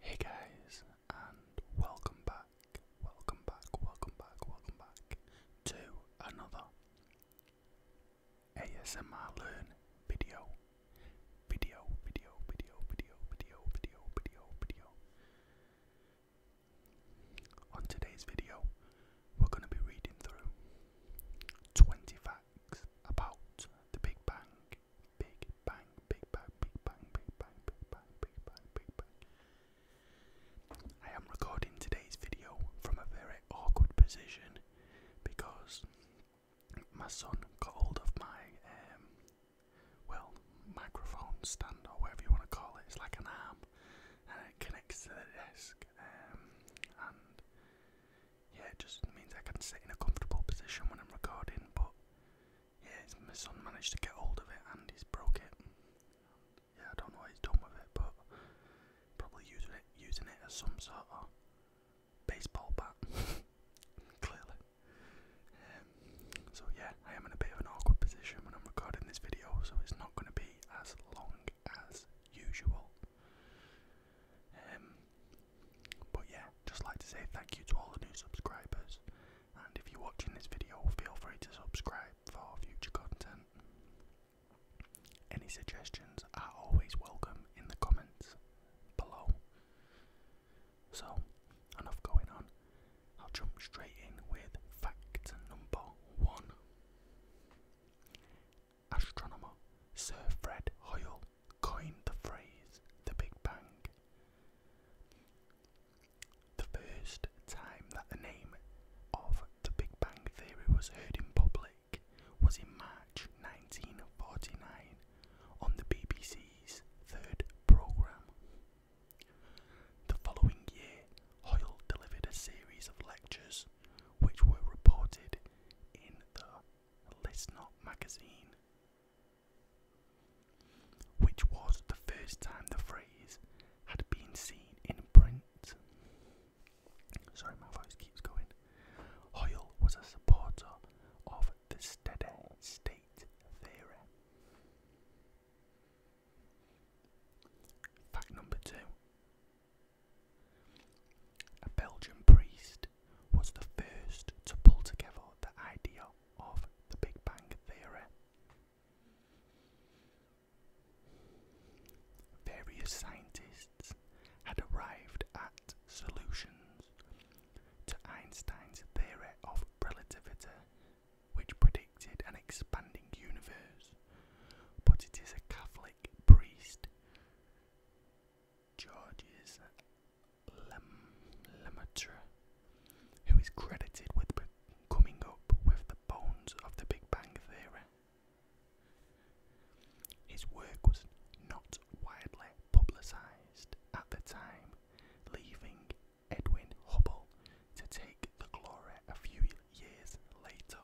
Hey guys, and welcome back, welcome back, welcome back, welcome back to another ASMR Learn video. Video, video, video, video, video, video, video, video. On today's video, we're going to be reading through 20 facts about the Big Bang. Big Bang, Big Bang, Big Bang, Big Bang, Big Bang, Big Bang, Big Bang. I am recording today's video from a very awkward position because my son got hold of my, um, well, microphone stand or whatever you want to call it. It's like an arm tab and it connects to the desk um, and yeah it just means I can sit in a comfortable position when I'm recording but yeah my son managed to get hold of it and he's broke it yeah I don't know what he's done with it but probably using it using it as some sort of baseball bat clearly um, so yeah I am in a bit of an awkward position when I'm recording this video so it's not going to be as long as usual. Um, but yeah, just like to say thank you to all the new subscribers. And if you're watching this video, feel free to subscribe for future content. Any suggestions are always welcome in the comments below. So, enough going on. I'll jump straight in with fact number one. Astronomer Sir Fred Hoyle coined the phrase the Big Bang. The first time that the name of the Big Bang Theory was heard in public was in March 1949 on the BBC's third programme. The following year, Hoyle delivered a series of lectures which were reported in the Listnot magazine, which was the first time the phrase had been seen in print. Sorry, my voice keeps going. Hoyle was a supporter of the steady state theory. Fact number two A Belgian priest was the first to pull together the idea of the Big Bang Theory. Various scientists had arrived at solutions to Einstein's theory of relativity which predicted an expanding universe, but it is a Catholic priest, Georges Lemaitre, who is credited with coming up with the bones of the Big Bang Theory. His work was not widely publicised at the time, leaving Edwin Hubble to take the glory a few years later.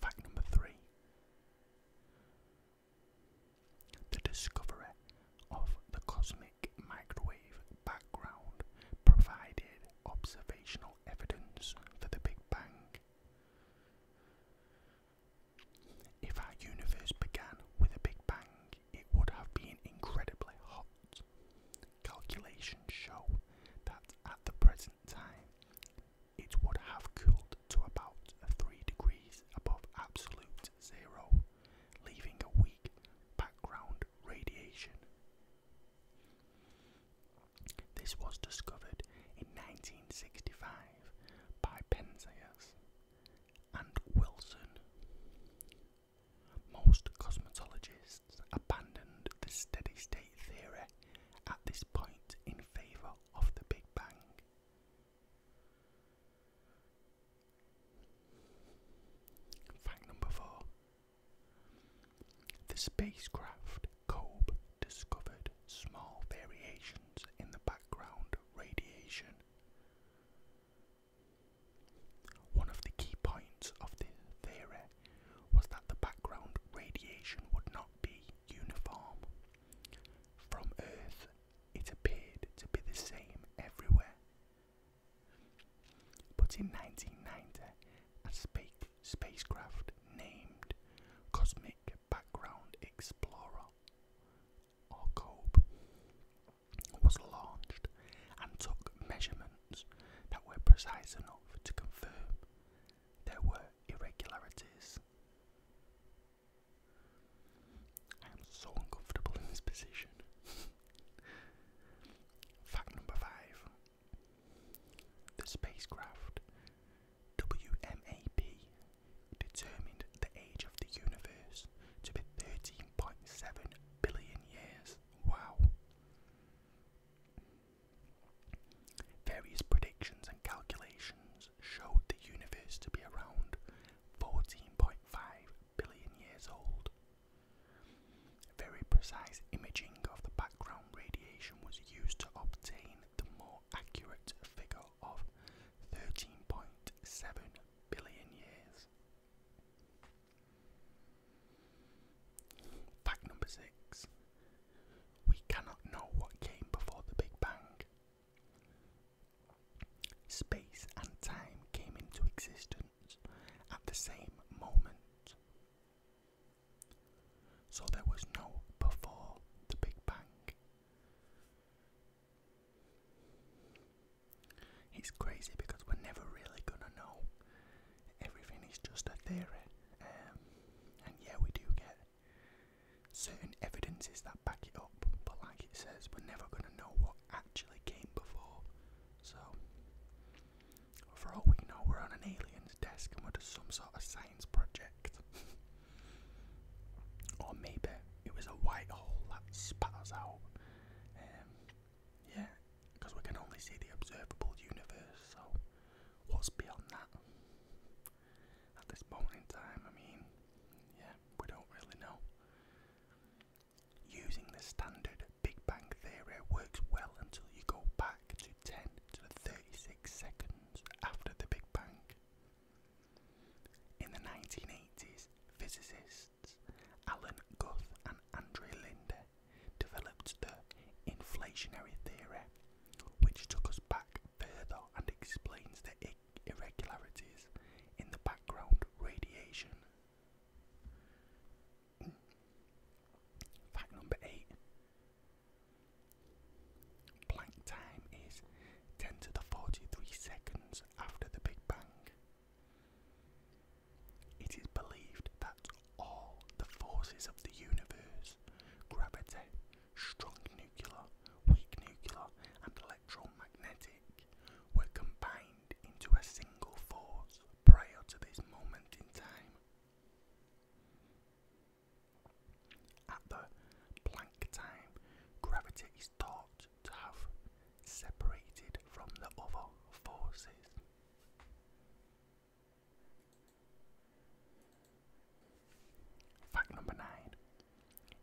Fact number three The discovery of the cosmic microwave background provided observational evidence for the Big Bang. If our universe began with a big bang, it would have been incredibly hot. Calculations show that at the present time, it would have cooled to about 3 degrees above absolute zero, leaving a weak background radiation. This was discovered in 1965 by Penzias and Wilson. Most cosmetologists abandoned the steady state theory at this point in favour of the Big Bang. Fact number four The spacecraft Kobe discovered small variations in the background radiation one of the key points of the theory was that the background radiation would not be uniform. From Earth, it appeared to be the same everywhere. But in 1990, a space spacecraft named Cosmic Background Explorer or was launched and took measurements that were precise enough to confirm there were irregularities. I am so uncomfortable in this position. Fact number five the spacecraft WMAP determined the age of the universe to be 13.7 billion years. Wow. Various predictions and calculations showed the universe to be around 14.5 billion years old. Very precise imaging of the background radiation was used to obtain the more accurate figure of 13.7 billion years. Fact number six we cannot know what came before the Big Bang. Space and time came into existence at the same moment. So there was no before the Big Bang. It's crazy because we're never really gonna know. Everything is just a theory, um, and yeah, we do get certain evidences that back it up, but like it says, we're never gonna know what actually came before. So, for all we know, we're on an alien's desk and we're doing some sort of science project. Or maybe it was a white hole that spat us out. Um, yeah, because we can only see the observable universe, so what's beyond that? At this moment in time, I mean, yeah, we don't really know. Using the standard Big Bang theory works well until you go back to 10 to the 36 seconds after the Big Bang. In the 1980s, physicists Alan Guth and Andrew Linde developed the inflationary theory, which took us back further and explains the irregularities in the background radiation. Fact number 8 Planck time is 10 to the 43 seconds after the Big Bang. It is believed that all the forces of the universe gravity, strong nuclear, weak nuclear, and electromagnetic were combined into a single force prior to this moment in time. At the Planck time, gravity is thought to have separated from the other forces. Fact number nine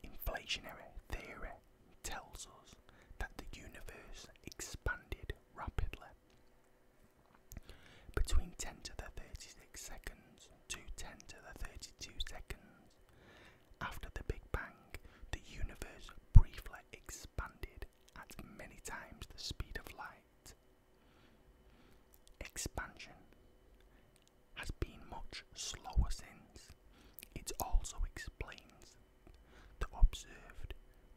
Inflationary theory tells us that the universe expanded rapidly. Between 10 to the 36 seconds to 10 to the 32 seconds after the Big Bang, the universe briefly expanded at many times the speed of light. Expansion has been much slower since. It also explains the observed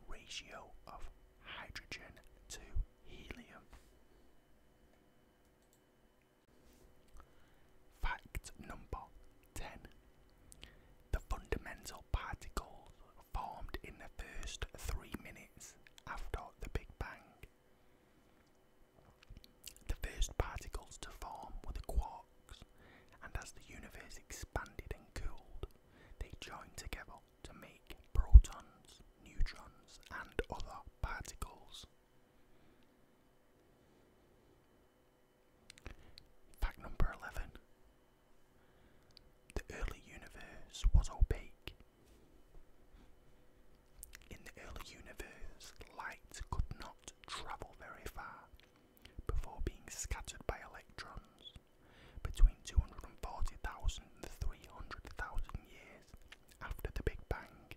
ratio of hydrogen to helium. Fact number 10 The fundamental particles formed in the first three minutes after the Big Bang. The first particles to form were the quarks, and as the universe expanded and cooled, they joined together to make protons, neutrons, and other particles. Fact number 11 The early universe was opaque. In the early universe, light could not travel very far before being scattered by electrons. Between 240,000 and 300,000 years after the Big Bang,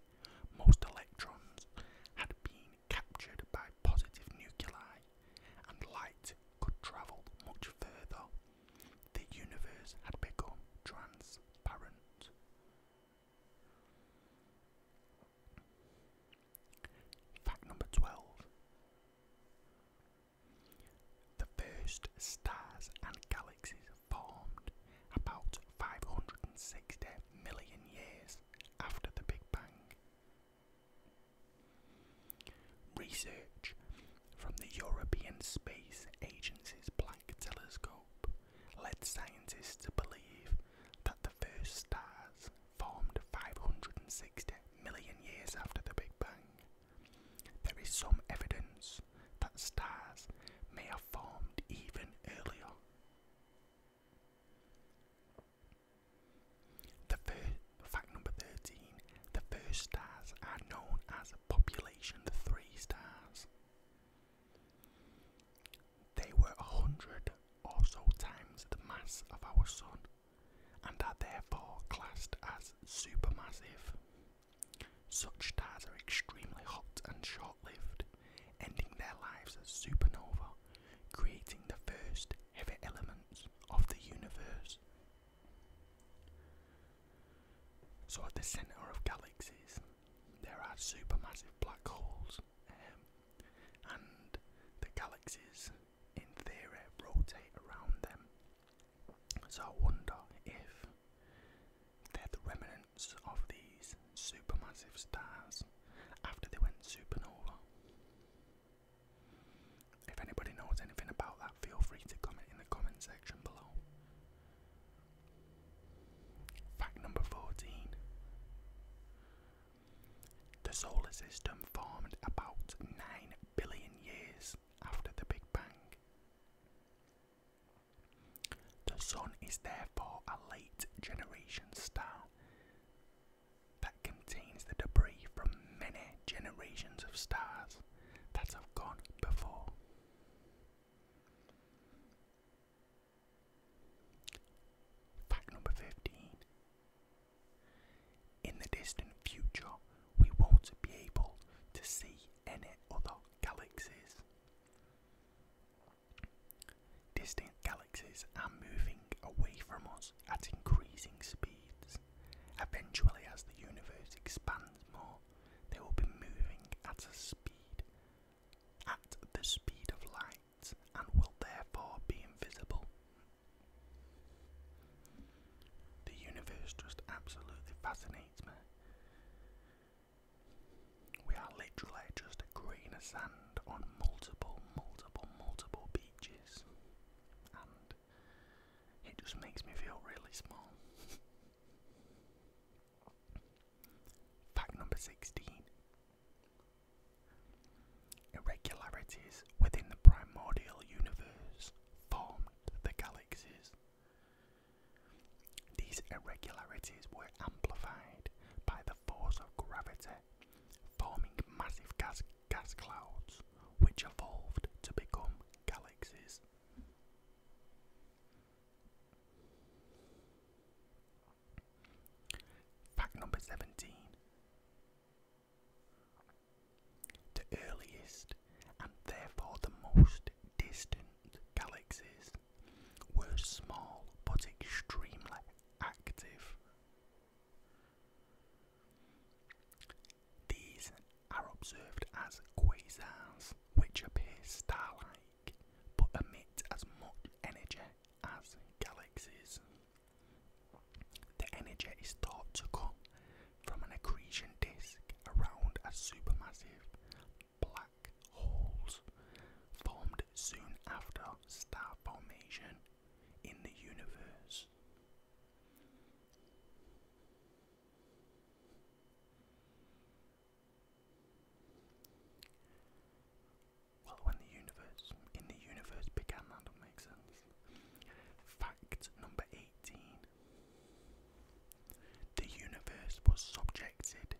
most electrons had been captured by positive nuclei, and light could travel much further. The universe had become transparent. Fact number 12 the first stars and galaxies formed about 560 million years after the Big Bang. Research from the European Space Agency's Planck telescope led scientists to believe that the first stars formed 560 million years after the Big Bang. There is some evidence that stars may have formed even earlier. The first, fact number 13 the first stars are known as population III stars. They were a 100 or so times the mass of our Sun and are therefore classed as supermassive. Such stars are extremely hot and short lived, ending their lives as supernova, creating the first heavy elements of the universe. So, at the centre of galaxies, there are supermassive black holes, um, and the galaxies, in theory, rotate around them so I wonder if they're the remnants of these supermassive stars after they went supernova. If anybody knows anything about that, feel free to comment in the comment section below. Fact number 14 The solar system formed about 9 billion years after the Big Bang. The Sun is therefore a late generation star that contains the debris from many generations of stars that have gone before. Fact number 15 in the distant future, we won't be able to see any other galaxies. Distant galaxies are moving away from us at increasing speeds. Eventually, as the universe expands more, they will be moving at a speed at the speed of light and will therefore be invisible. The universe just absolutely fascinates me. We are literally just a grain of sand on multiple, multiple, multiple beaches, and it just makes me feel really small. Fact number 16 Irregularities within the primordial universe formed the galaxies. These irregularities were amplified by the force of gravity, forming massive gas, gas clouds which evolved to become galaxies. Fact number 17 the earliest and therefore the most distant galaxies were small but extremely active. These are observed as quasars, which appear star like but emit as much energy as galaxies. The energy is thought to come from an accretion disk around a supermassive black hole, formed soon after star formation in the universe. Well, when the universe in the universe began, that don't make sense. Fact number 18 The universe was subjected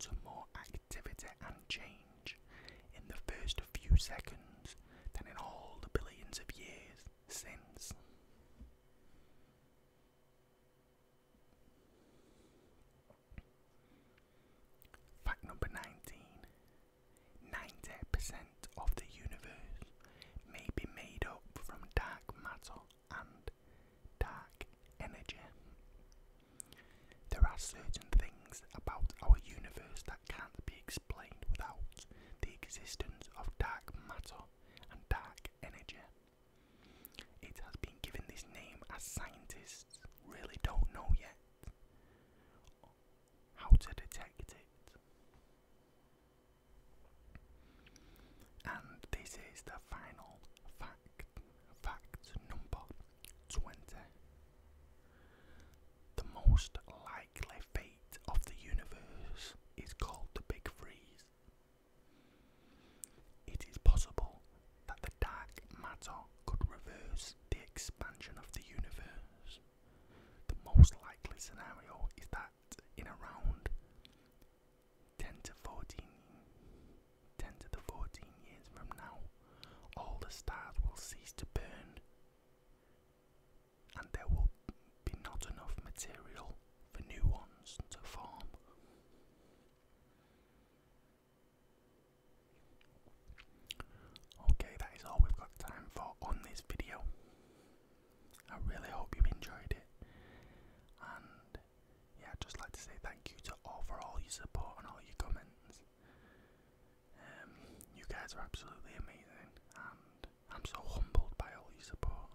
to more activity and change in the first few seconds than in all the billions of years since. Fact number 19 90% of the universe may be made up from dark matter and dark energy. There are certain things about our universe that can't be explained without the existence of dark matter and dark energy. It has been given this name as scientists really don't know yet how to detect it. And this is the final fact, fact number 20. The most likely fate of the universe is called the Big Freeze. It is possible that the dark matter could reverse the expansion of the universe. The most likely scenario is that in around 10 to 14 to 14 years from now all the stars will cease to burn and there will be not enough material for new ones to form Okay, that is all we've got time for on this video. I really hope you've enjoyed it. And yeah, just like to say thank you to all for all your support and all your comments. Um, you guys are absolutely amazing, and I'm so humbled by all your support.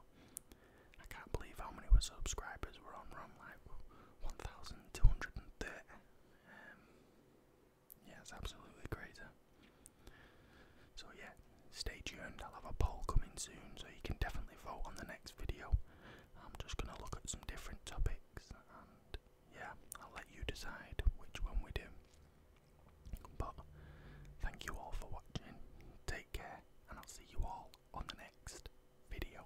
I can't believe how many were subscribers were on. we like 1,230. Um, yeah, it's absolutely crazy. So yeah, stay tuned. I'll have a poll coming soon, so you can definitely vote on the next video. I'm just gonna look at some different topics, and yeah, I'll let you decide which one we do. But thank you all for watching. Take care, and I'll see you all on the next video.